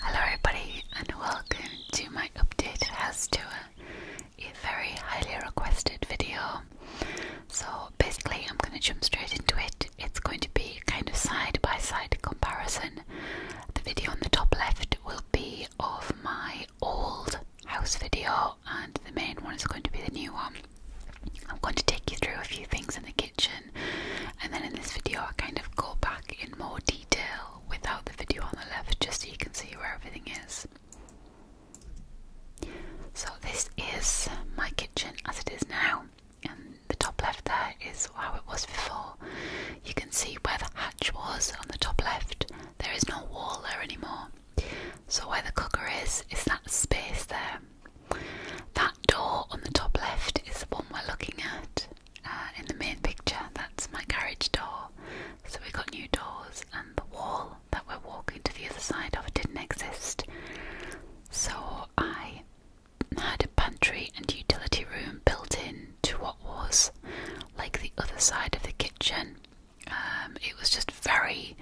Hello everybody and welcome to my updated house tour, a very highly requested video. So basically I'm going to jump straight into it. It's going to be kind of side by side comparison. The video on the top left will be of my old house video and the main one is going to be the new one. I'm going to take you through a few things in the kitchen and then in this video I kind of go back in more detail without the video on the left just so you can see where everything is. So this is my kitchen as it is now and the top left there is how it was before. You can see where the hatch was on the top left. There is no wall there anymore. So where the cooker is, is that space there. That door on the top left is the one we're looking at. Uh, in the main picture, that's my garage door. So we got new doors, and the wall that we're walking to the other side of didn't exist. So I had a pantry and utility room built in to what was like the other side of the kitchen. Um, it was just very,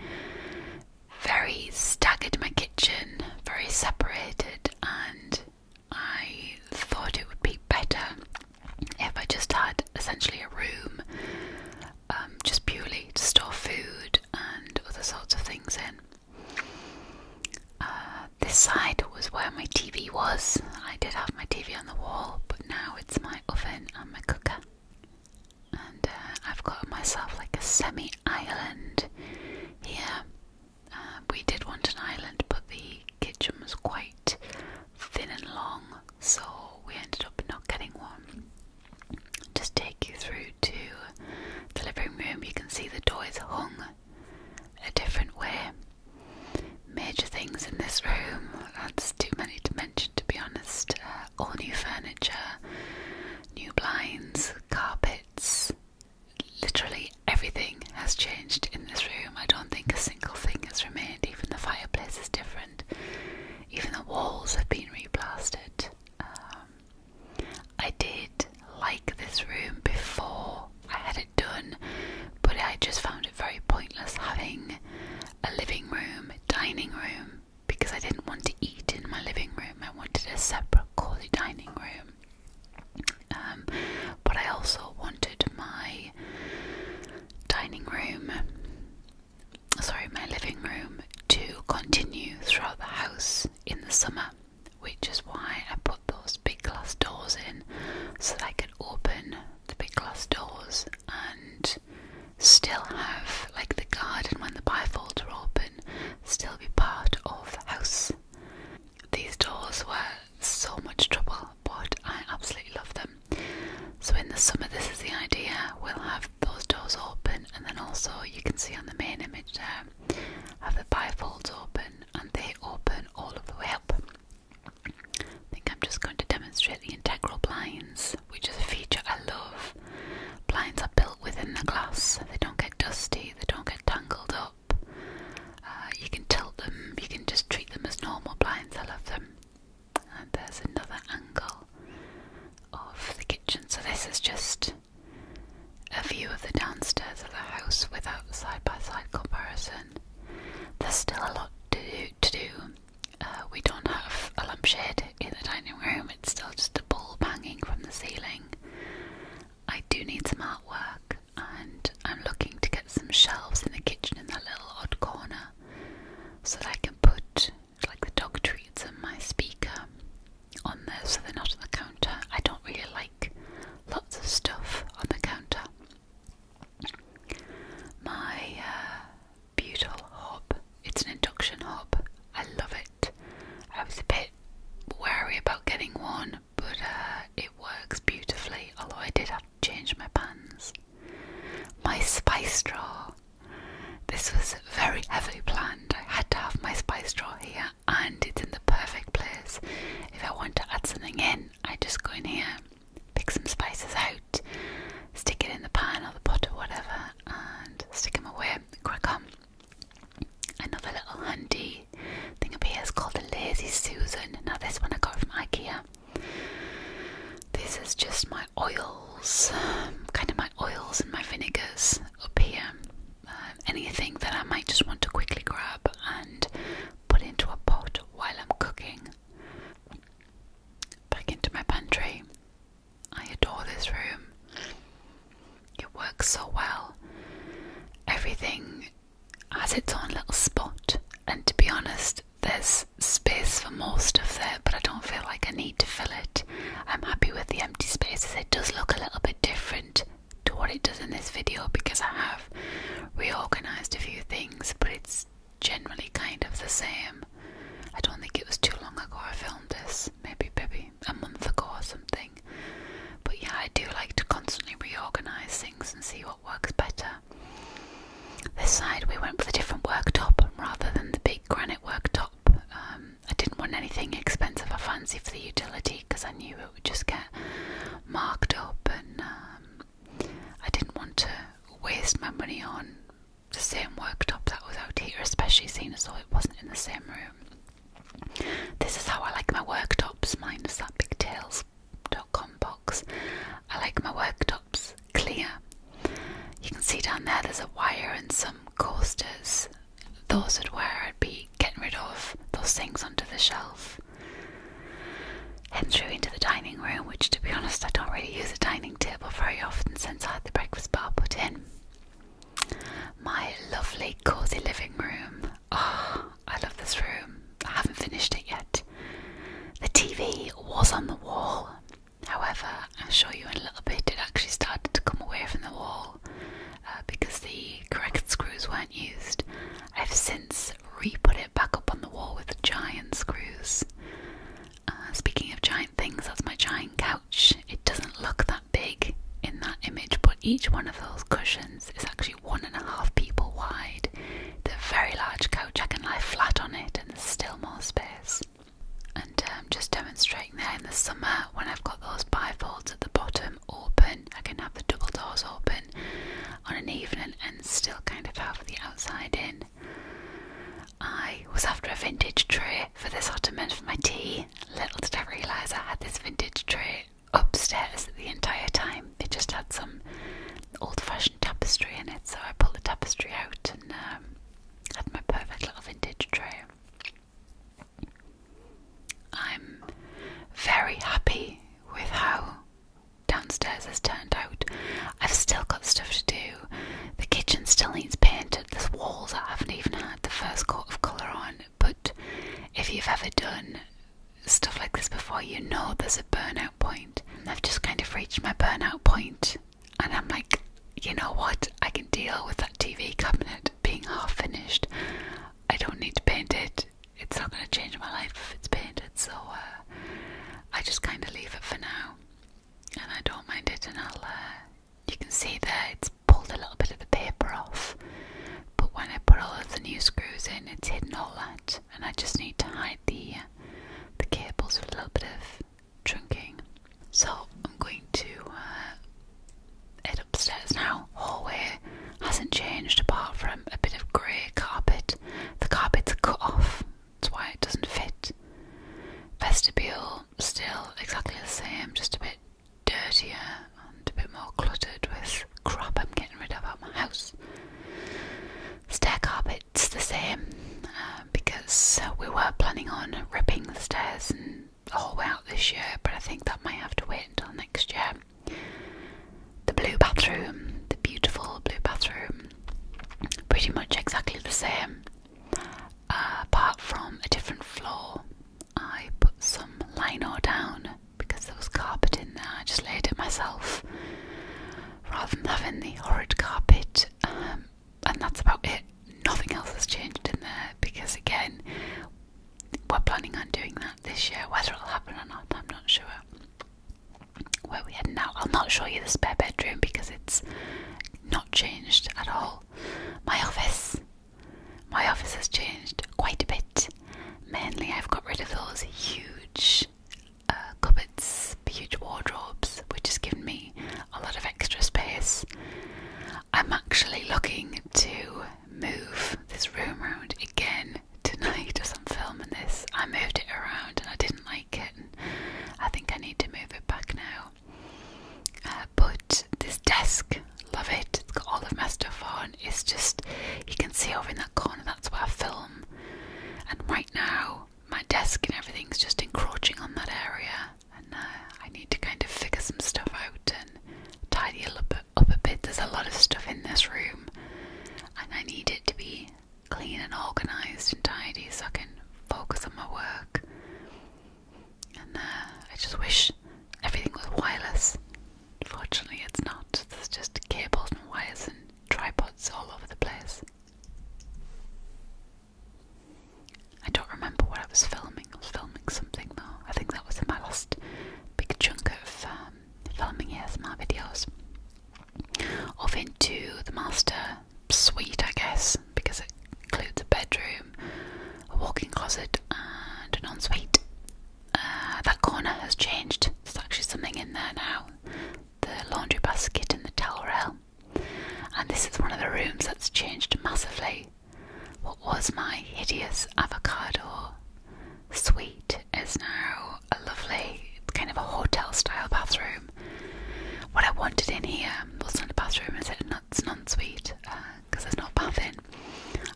very staggered, my kitchen, very separated, and I thought it would be better if I just had essentially a room um, just purely to store food and other sorts of things in. Uh, this side was where my TV was. I did have my TV on the wall, but now it's my oven and my cooker. And uh, I've got myself like a semi island here we did want an island, but the kitchen was quite thin and long, so we ended up not getting one. Just take you through to the living room, you can see the door is hung a different way. Major things in this room, that's too many to mention to be honest. Uh, all new furniture, new blinds, carpets, Literally everything has changed in this room. I don't think a single thing has remained. Even the fireplace is different. Even the walls have been replasted. Um, I did like this room before I had it done, but I just found it very pointless having a living room, dining room, because I didn't want to eat in my living room. I wanted a separate cozy dining room. Um, but I also wanted my dining room, sorry, my living room to continue throughout the house in the summer, which is why I put those big glass doors in so that I could open the big glass doors and still have like the garden when the bifolds are open still be part of the house. These doors were so much trouble, but I absolutely love them. So, in the summer, this is the idea we'll have those doors open, and then also you can see on the main image there, have the bifolds open and they open all of the way up. I think I'm just going to demonstrate the integral blinds, which is a feature I love Blinds are built within the glass, they don't get dusty, they don't get tangled up. Uh, you can tilt them, you can just treat them as normal blinds. I love them. And there's another angle of the kitchen. So this is just a view of the downstairs of the house without side by side comparison. There's still a lot to do. Uh, we don't have a lampshade in the dining room it's still just a bulb hanging from the ceiling. I do need some artwork, and I'm looking to get some shelves in the kitchen in that little odd corner so that I can put like the dog treats and my speaker on there so they're not on the counter. I don't really like lots of stuff on the counter. My uh, butyl hob. It's an induction hob. I love it. I was a bit wary about getting one, but uh, it works beautifully, although I did have to change my pans. My spice drawer. This was very heavily planned. I had to have my spice drawer here, and it's in the perfect place. If I want to add something in, I just go in here, pick some spices out, stick it in the pan or the pot or whatever, and stick them away, Quick, on. Another little handy thing up here is called the Lazy Susan. Now, this one I got from IKEA. This is just my oils, kind of my oils and my vinegars up here. Um, anything that I might just want to quickly grab and put into a pot while I'm cooking. Back into my pantry. I adore this room. It works so well. Everything has its own little spot, and to be honest, there's space for more stuff there, but I don't feel like I need to fill it. I'm happy with the empty spaces. It does look a little bit different to what it does in this video because I have reorganized a few things, but it's generally kind of the same. I don't think it was too long ago I filmed this, maybe maybe a month ago or something. But yeah, I do like to constantly reorganise things and see what works better. This side we went with a different worktop rather than the big granite worktop. Um, I didn't want anything expensive or fancy for the utility because I knew it would just get marked up and um, I didn't want to waste my money on the same worktop that was out here, especially seeing as though it wasn't in the same room. This is how I like my worktops, minus that big dot com box. I like my worktops clear. You can see down there there's a wire and some coasters. Those would where I'd be getting rid of those things onto the shelf. And through into the dining room, which to be honest, I don't really use a dining table very often since I had the breakfast bar put in. My lovely, cosy living room. Ah, I love this room. I haven't finished it yet. The TV was on the wall. However, I'll show you in a little bit, it actually started to come away from the wall uh, because the correct screws weren't used. I've since re put it back up on the wall with giant screws. Uh, speaking of giant things, that's my giant couch. It doesn't look that big in that image, but each one of those cushions is actually one and a half people wide. they a very large couch. I can lie flat on it, and there's still more space. And um, just demonstrating there in the summer when I've got those bifolds at the bottom open, I can have the double doors open on an evening and still kind of have the outside in. I was after a vintage tray for this ottoman for my tea. Little did I realise I had this vintage tray upstairs the entire time. It just had some old fashioned tapestry in it, so I pulled the tapestry out and um, had my perfect little vintage tray. I'm very happy with how downstairs has turned out. I've still got stuff to do. The kitchen still needs painted. There's walls I haven't even had the first coat of colour on. But if you've ever done stuff like this before, you know there's a burnout point. I've just kind of reached my burnout point, and I'm like, you know what? I can deal with that TV cabinet being half finished. I don't need to paint it it's not going to change my life if it's painted, so uh, I just kind of leave it for now. And I don't mind it, and I'll. Uh, you can see there it's pulled a little bit of the paper off, but when I put all of the new screws in, it's hidden all that, and I just need to hide the uh, the cables with a little bit of trunking. So I'm going to head upstairs now. Hallway hasn't changed apart from a bit of grey carpet the carpet's are cut off, that's why it doesn't fit. Vestibule, still exactly the same, just a bit dirtier and a bit more cluttered with crap I'm getting rid of out my house. Stair carpet's the same uh, because uh, we were planning on ripping the stairs and the whole way out this year, but I think that might have to wait until next year. The blue bathroom, the beautiful blue bathroom, pretty much exactly the same, uh, apart from a different floor. I put some lino down because there was carpet in there. I just laid it myself rather than having the horrid carpet, um, and that's about it. Nothing else has changed in there because, again, we're planning on doing that this year. Whether it'll happen or not, I'm not sure where we are now. I'll not show you the spare bedroom because it's not changed at all. My office. My office has changed quite a bit. Mainly, I've got rid of those huge uh, cupboards, huge wardrobes, which has given me a lot of extra space. I'm actually looking to move this room around again tonight as i filming this. I moved it around and I didn't like it. And I think I need to move it back now. Uh, but this desk, love it. It's got all of my stuff on. It's just, you can see over in that corner, that's where I film. And right now, my desk and everything's just encroaching on that area. And uh, I need to kind of figure some stuff out and tidy a little bit, up a bit. There's a lot of stuff in this room, and I need it to be clean and organised and tidy so I can focus on my work. And uh, I just wish everything was wireless. Unfortunately, it's not. There's just cables and wires and tripods all over the place. I don't remember what I was filming. I was filming something though. I think that was in my last big chunk of um, filming ASMR videos. Off into the master suite, I guess, because it includes a bedroom, a walk-in closet, and an ensuite. Uh, that corner has changed. There's actually something in there now: the laundry basket and the towel rail. And this is one of the rooms that's changed massively. What was my hideous avocado suite is now a lovely kind of a hotel style bathroom. What I wanted in here was not a bathroom, is it? It's an ensuite because uh, there's not in.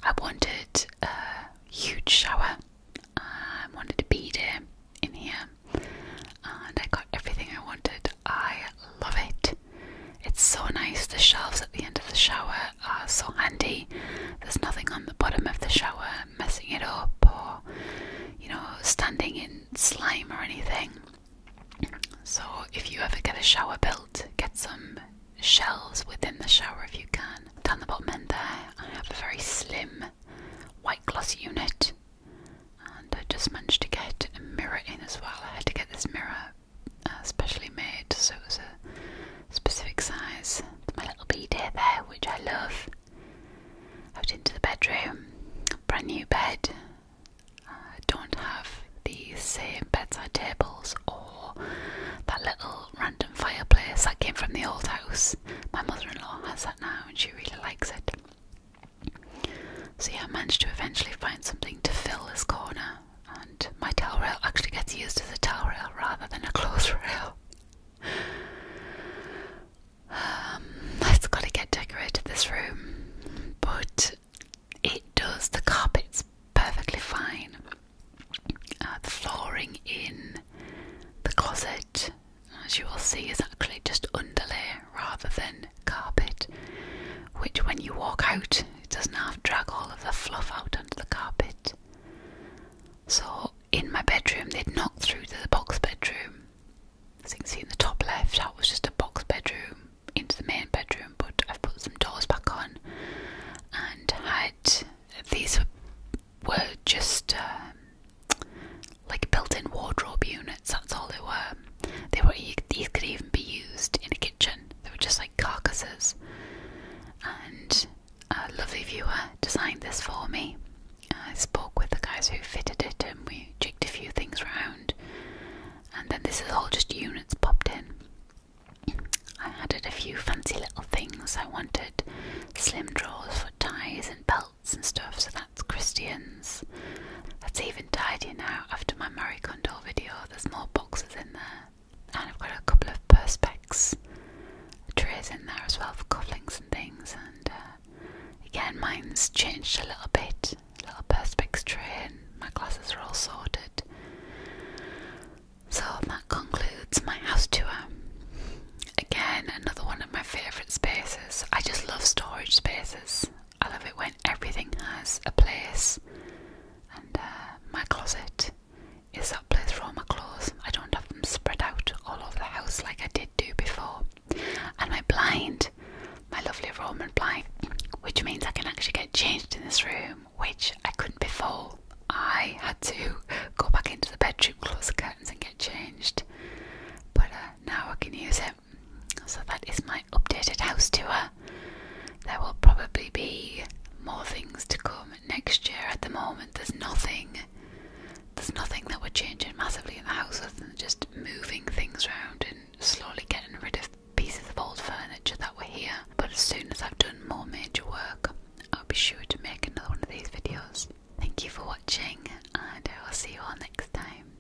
I wanted a huge shower. I wanted a bed in here, and I got everything I wanted. I love it. It's so nice. The shelves at the end of the shower are so handy. There's nothing on the bottom of the shower messing it up or, you know, standing in slime or anything. So, if you ever get a shower built, get some shelves within the shower if you can. Down the bottom there, I have a very slim white gloss unit, and I just managed to get a mirror in as well. I had to get this mirror Especially uh, made, so it was a specific size. My little bed here, there, which I love. Out into the bedroom, brand new bed. I don't have these same bedside tables or that little random fireplace that came from the old house. My mother-in-law has that now, and she really likes it. So yeah, I managed to eventually find something to fill this corner and my towel rail actually gets used as a towel rail rather than a clothes rail. it's um, got to get decorated this room, but it does. The carpet's perfectly fine. Uh, the flooring in the closet, as you will see, is actually just underlay rather than carpet, which when you walk out it doesn't have to drag all of the fluff out onto the carpet. So in my bedroom, they'd knocked through the box bedroom. As you can see in the top left, that was just a box bedroom into the main bedroom, but I've put some doors back on and had these were just um, like built in wardrobe units, that's all they were they were these could even be used in a kitchen. They were just like carcasses. And a lovely viewer designed this for me. I spoke with the guys who fitted it, and we jigged a few things round. And then this is all just units popped in. I added a few fancy little things. I wanted slim drawers for ties and belts and stuff, so that's Christian's. That's even tidier now after my Murray Condor video. Oh, there's more boxes in there. And I've got a couple of perspex trays in there as well for cufflinks and things. And uh, again, mine's changed a little bit. A little perspex tray, and my glasses are all sorted. So that concludes my house tour. Again, another one of my favourite spaces. I just love storage spaces. I love it when everything has a place, and uh, my closet is that place for all my clothes. I don't have them spread out all over the house like I did do before. And my blind, my lovely Roman blind, which means I can actually get changed in this room, which I couldn't before. I had to go back into the bedroom, close the curtains, and get changed. But uh, now I can use it. So that is my updated house tour. There will probably be more things to come next year. At the moment, there's nothing. There's nothing that would change it massively in the house other than just moving things around and slowly getting rid of pieces of old furniture that were here. But as soon as I've done more major work, I'll be sure to make another one of these videos. Thank you for watching, and I will see you all next time.